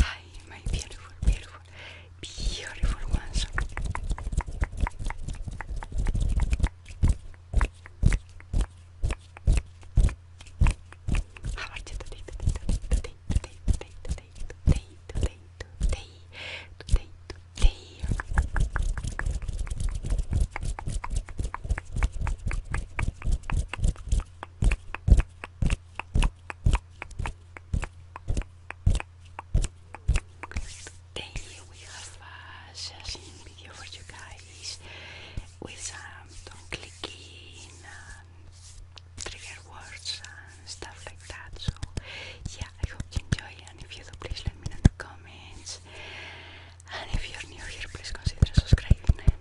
Hi, my beautiful, beautiful, beautiful ones. How are you today? Then we have a uh, session video for you guys with some clicking trigger words and stuff like that. So yeah, I hope you enjoy and if you do please let me know in the comments. And if you're new here please consider subscribing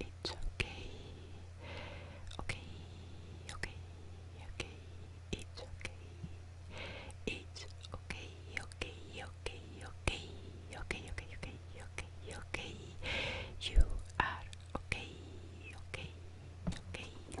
It's okay. Okay. Okay. Okay. It's okay. It's okay. Okay. Okay. Okay. Okay. Okay. Okay. Okay. Okay. You are okay. Okay. Okay.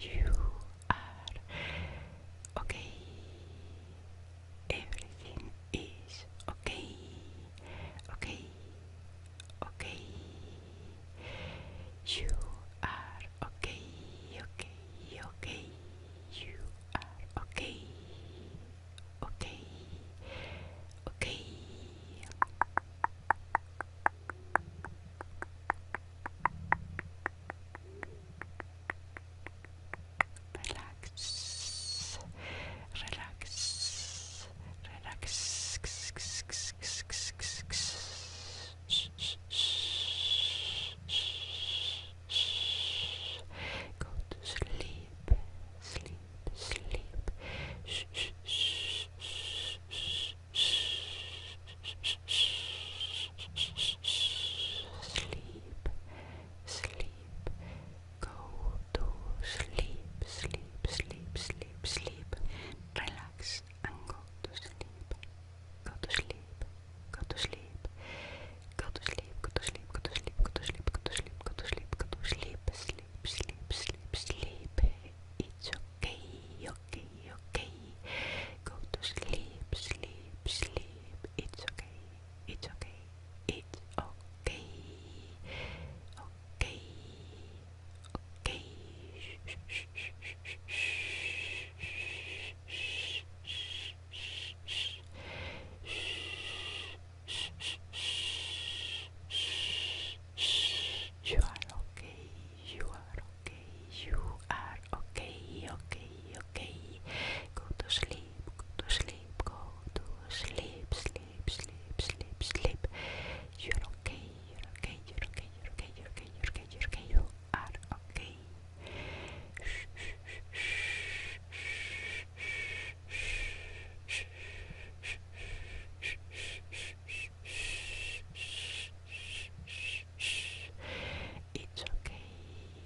You are okay everything is okay, okay, okay. You are okay, okay, okay. You are okay, okay, okay relax, relax, relax. Go to sleep, sleep, sleep. Sleep, sleep, sleep. Go to sleep, sleep, sleep, sleep, sleep. Relax and go to sleep. Go to sleep. Go to sleep. Go to sleep. Go to sleep. Go to sleep. Go to sleep. Go to sleep. Go to sleep. Go to sleep. Sleep, sleep, sleep, sleep. It's okay. Okay. Okay. Go to sleep. Sleep. Sleep. It's okay. It's okay. It's okay. Okay. Okay. Shh, shh, shh, shh, shh, shh, you are okay, you are okay, you are okay, okay, okay. Go to sleep, sleep, go to sleep, go to sleep, sleep, sleep, sleep, sleep. You're okay, you're okay, you're okay, you're okay, you're okay, you're okay, you're okay, you are okay. It's okay,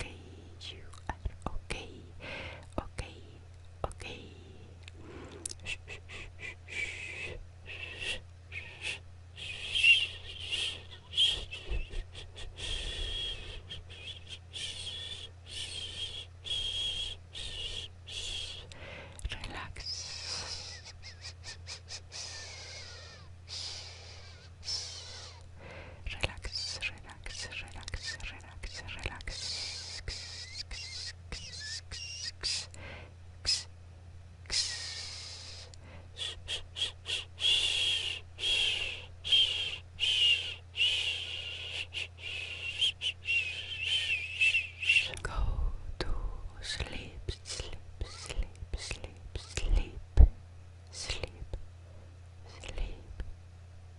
okay, okay, okay, okay. Shh, shh, shh, shh, shh, shh. Relax relax, relax, relax, relax, relax. Go to sleep, sleep, sleep, sleep, sleep, sleep, sleep,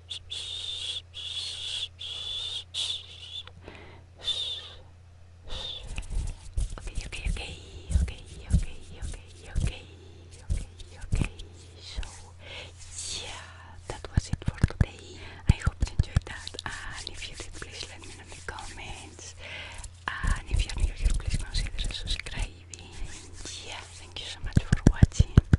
Okay, okay, okay, okay, okay, okay, okay, okay, So, yeah, that was it for today. I hope you enjoyed that. if you did, please let me know in the comments. if you're new here, please consider subscribing. Yeah, thank you so much for watching.